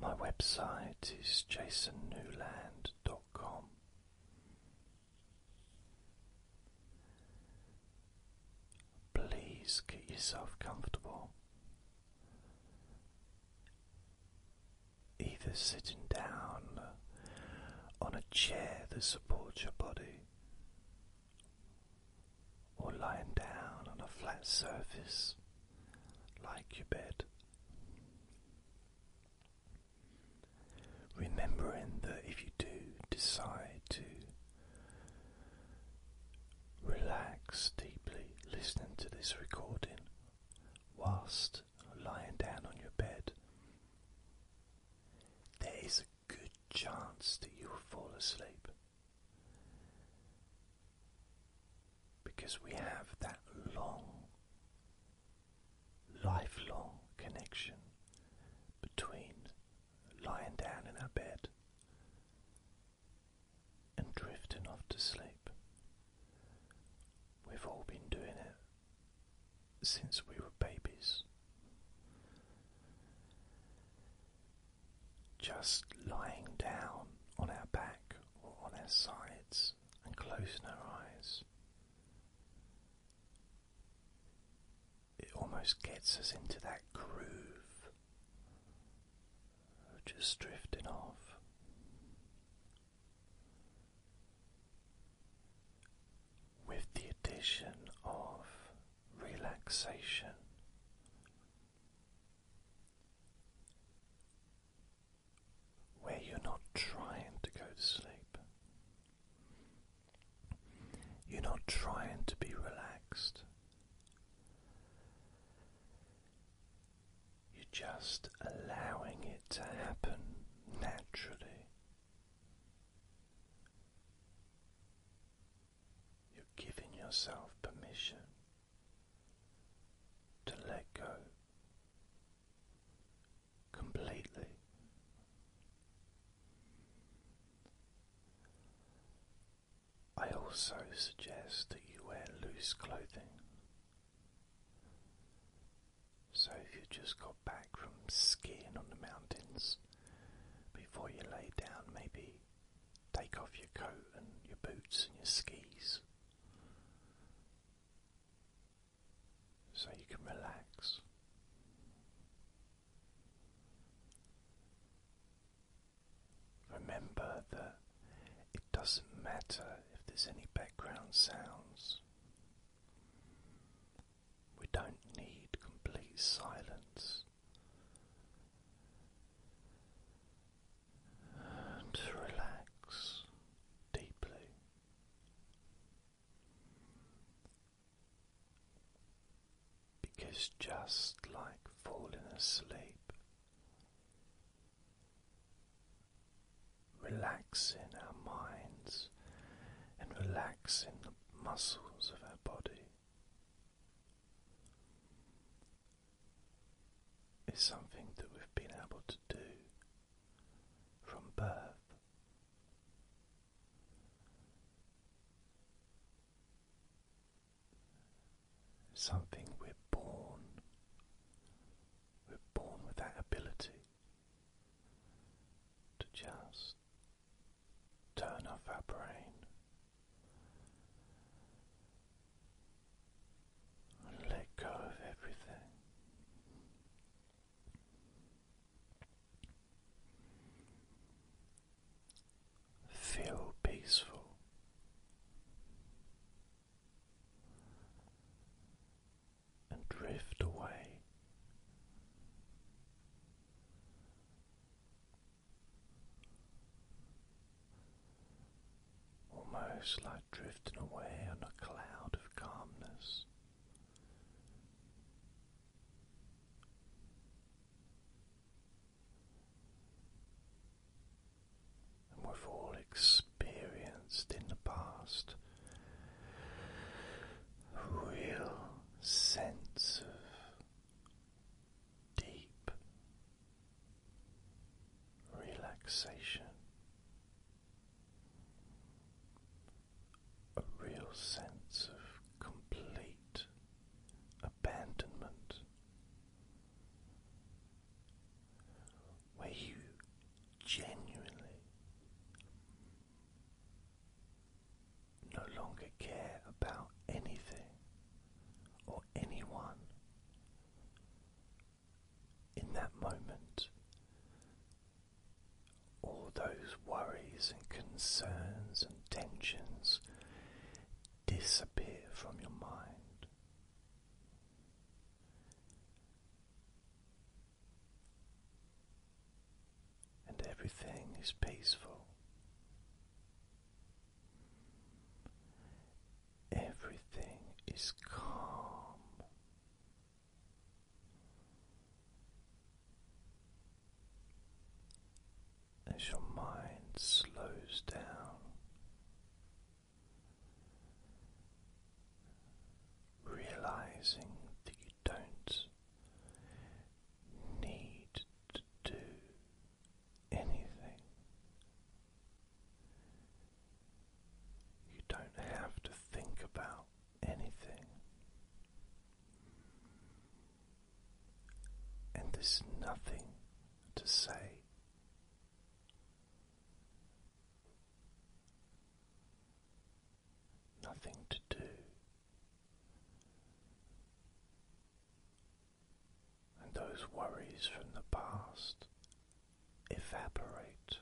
my website is jasonnewland.com. Please get yourself comfortable, either sitting down on a chair that supports your body or lying down on a flat surface like your bed. Remembering that if you do decide to relax deeply listening to this recording whilst lying down on your bed, there is good chance that you'll fall asleep because we have that long, lifelong connection between lying down in our bed and drifting off to sleep. We've all been doing it since we were babies. Just lying down on our back or on our sides and closing our eyes. It almost gets us into that groove of just drifting off. With the addition of relaxation. Where you're not trying to go to sleep, you're not trying to be relaxed, you're just allowing it to happen naturally. You're giving yourself permission to let go completely. I also suggest that you wear loose clothing. So, if you just got back from skiing on the mountains, before you lay down. Maybe take off your coat and your boots and your skis so you can relax. Remember that it doesn't matter if there's any background sounds. We don't need complete silence. And relax deeply. Because just like falling asleep, relaxing our minds and relaxing the muscles of our body. Is something that we've been able to do from birth. Something we're born, we're born with that ability to just turn off our brain and let go of everything. Feel peaceful and drift away. Almost like drifting away on a cloud of calmness. And we've all experienced in the past real sense of deep relaxation, a real sense of complete abandonment. Where you genuinely no longer care about anything or anyone. In that moment, all those worries and concerns and tensions disappear from your mind and everything is peaceful. Everything is calm. As your mind slows down, realizing that don't need to do anything. You don't have to think about anything. And there's nothing to say nothing to do. And those worries from the past evaporate.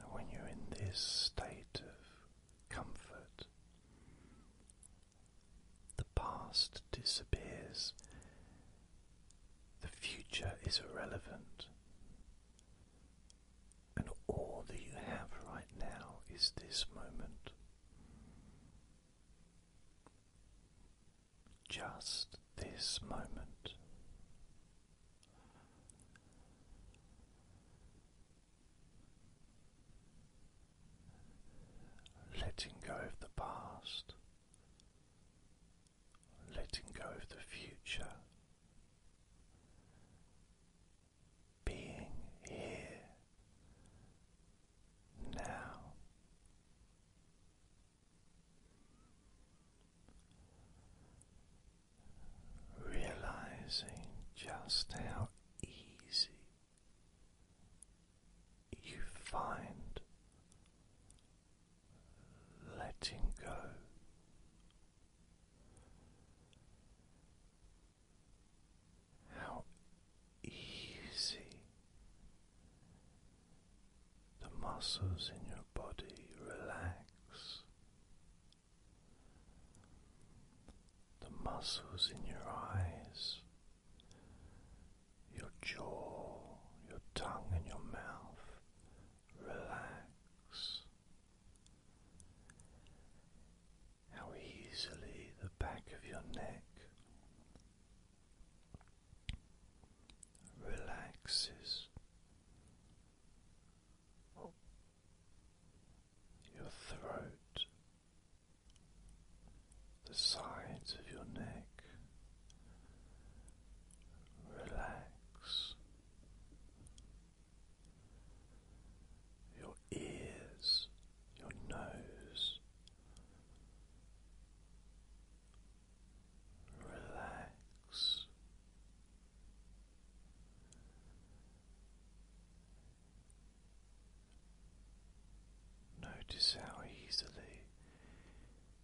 And when you're in this state of comfort the past disappears. The future is irrelevant. And all that you have right now is this moment. Just this moment. Letting go of the past letting go of the future, being here now. Realizing just how easy you find letting go. How easy the muscles in your body relax, the muscles in your eyes your jaw, your tongue, and your mouth relax. How easily the back of your neck relaxes. Your throat the sides of your neck relax. Your ears, your nose relax. Notice how easily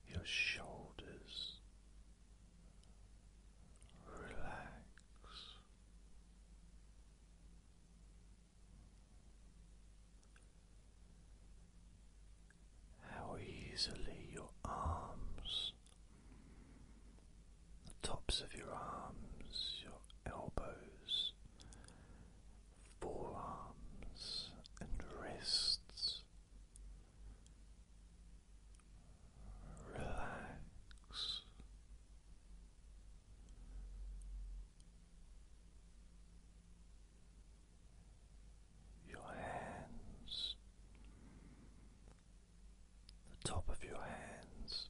your shoulders relax. How easily your arms, the tops of your arms, your elbows, forearms and wrists. Relax. Your hands, the top of your hands,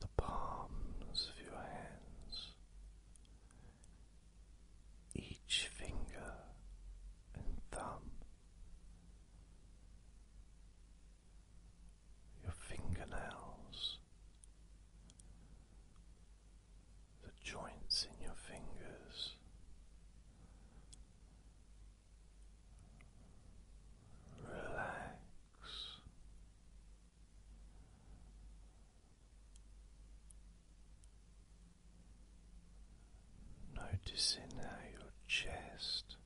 the palms of your hands, each finger and thumb, your fingernails, the joints in your fingers. Relax Noticing how your chest,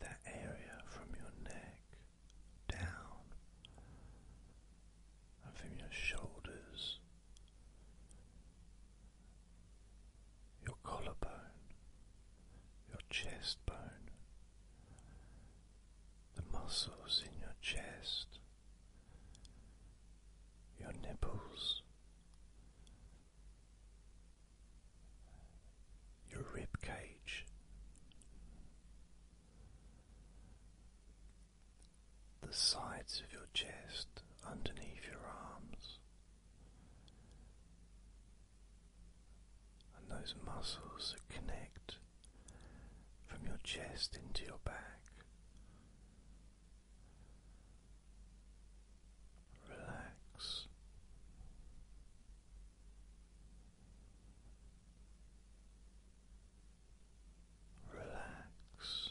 that area from your neck down and from your shoulders, your collarbone, your chest bone, the muscles in your chest, your nipples, your rib cage, the sides of your chest underneath your arms and those muscles that connect from your chest into your back. Relax. Relax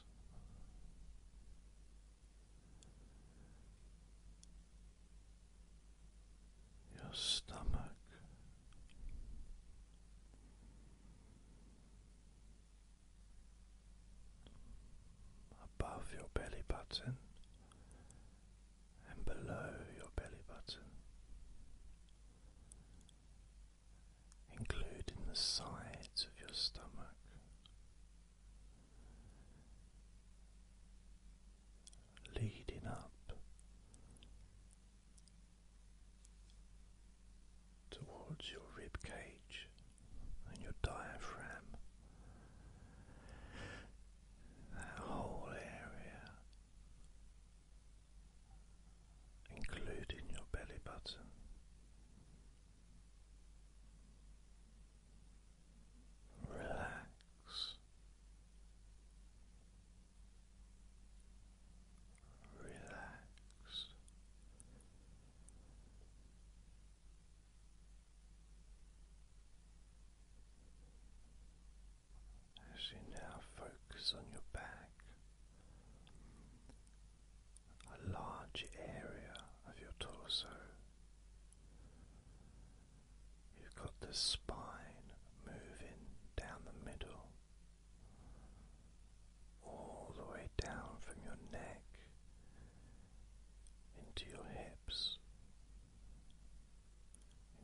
your stomach. Above your belly button and below your belly button, including the sides of your stomach, leading up towards your rib and your diaphragm. That whole area, including your belly button. Relax relax. As you now focus on your back, a large area of your torso You've got the spine moving down the middle, all the way down from your neck into your hips,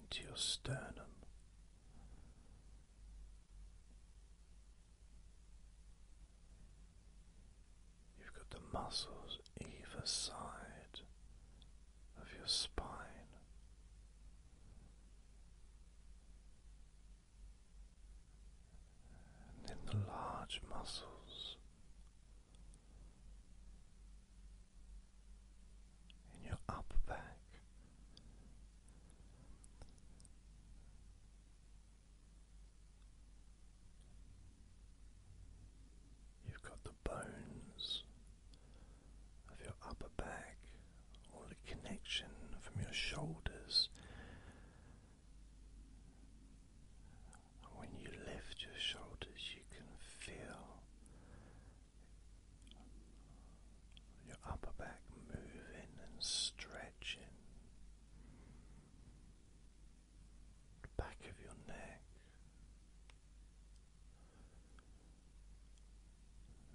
into your sternum. You've got the muscles either side of your spine. And then the large muscles in your upper back. You've got the bones of your upper back, all the connection from your shoulders. When you lift your shoulders, you can feel your upper back moving and stretching the back of your neck,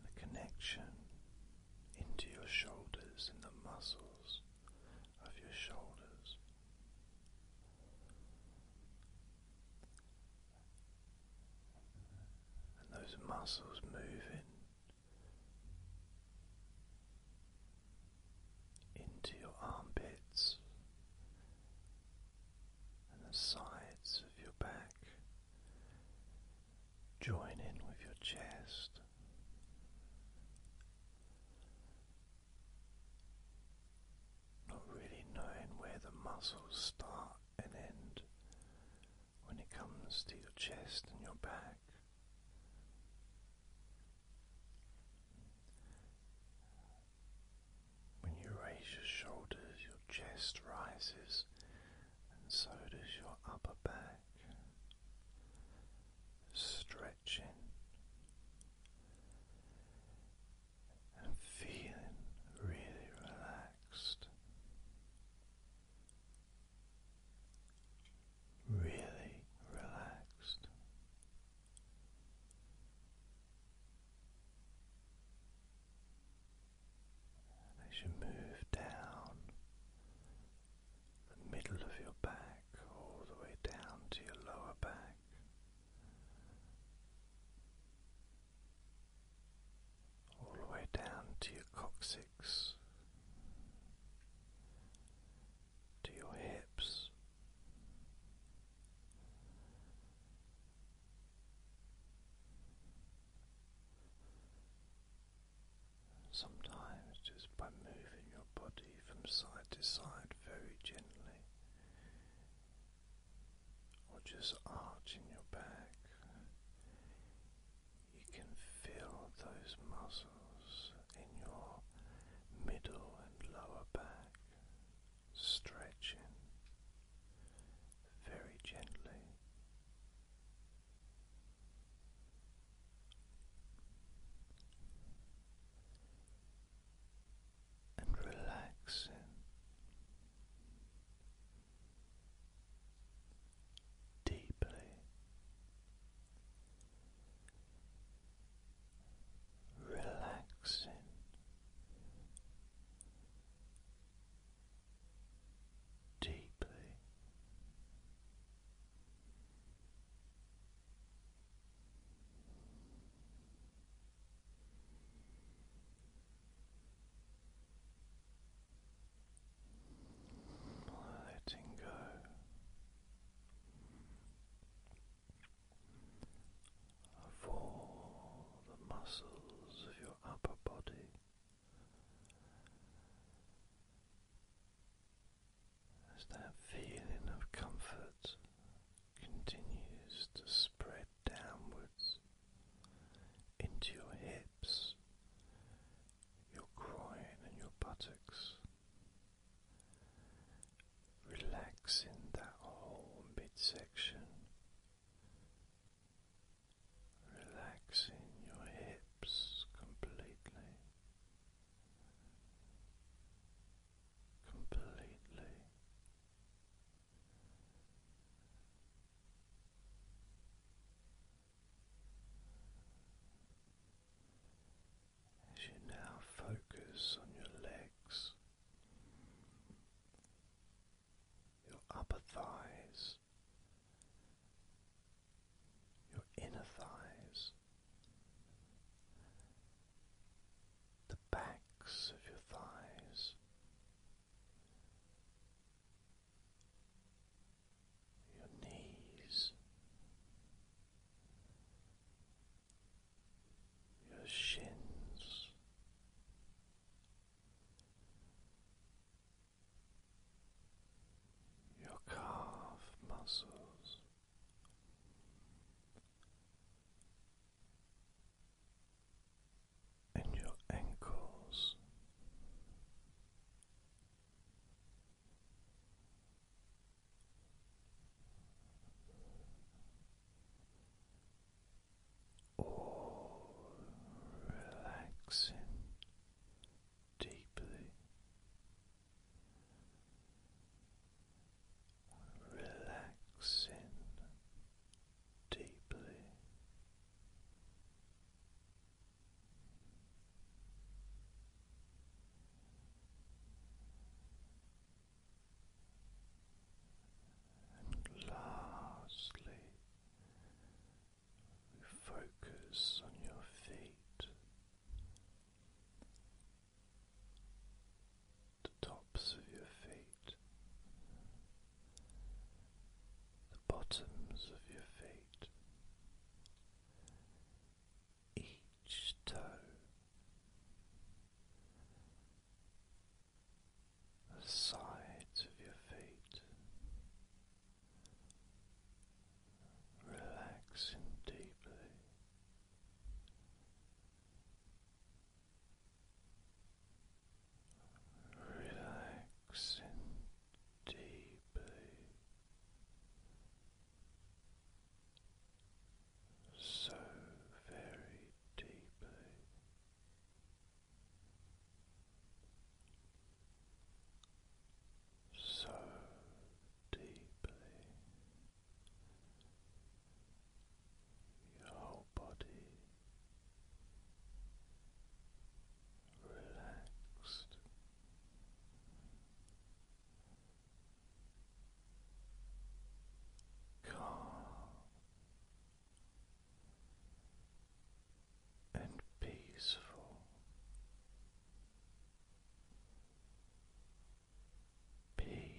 the connection into your shoulders and the muscles of your shoulders. And those muscles moving into your armpits and the sides of your back. Join in with your chest. Not really knowing where the muscles start and end when it comes to your chest and your back. When you raise your shoulders, your chest rises, and so does your upper back. Stretching and feeling really relaxed, really relaxed as you move down the middle of your back, all the way down to your lower back. All the way down to your coccyx, to your hips, Sometimes, just by moving your body from side to side very gently, or just arching your back, you can feel those muscles in your middle and lower back stretching very gently. And relaxing deeply relaxing. Deeply letting go of the muscles of your upper body. As that feeling of comfort continues to spread downwards into your hips, your groin, and your buttocks, relaxing that whole midsection, relaxing your hips completely, completely. As you now focus on your legs, your upper thighs, your inner thighs, the backs of your thighs your knees, your shins, your calf muscles. And your ankles, or relaxing deeply, relaxing deeply lastly, focus on your feet, the tops of your feet, the bottoms of your feet each toe. The sides of your feet relaxing deeply, relaxing relaxing deeply, so very deeply. So deeply, your whole body relaxed, calm and peaceful, peaceful.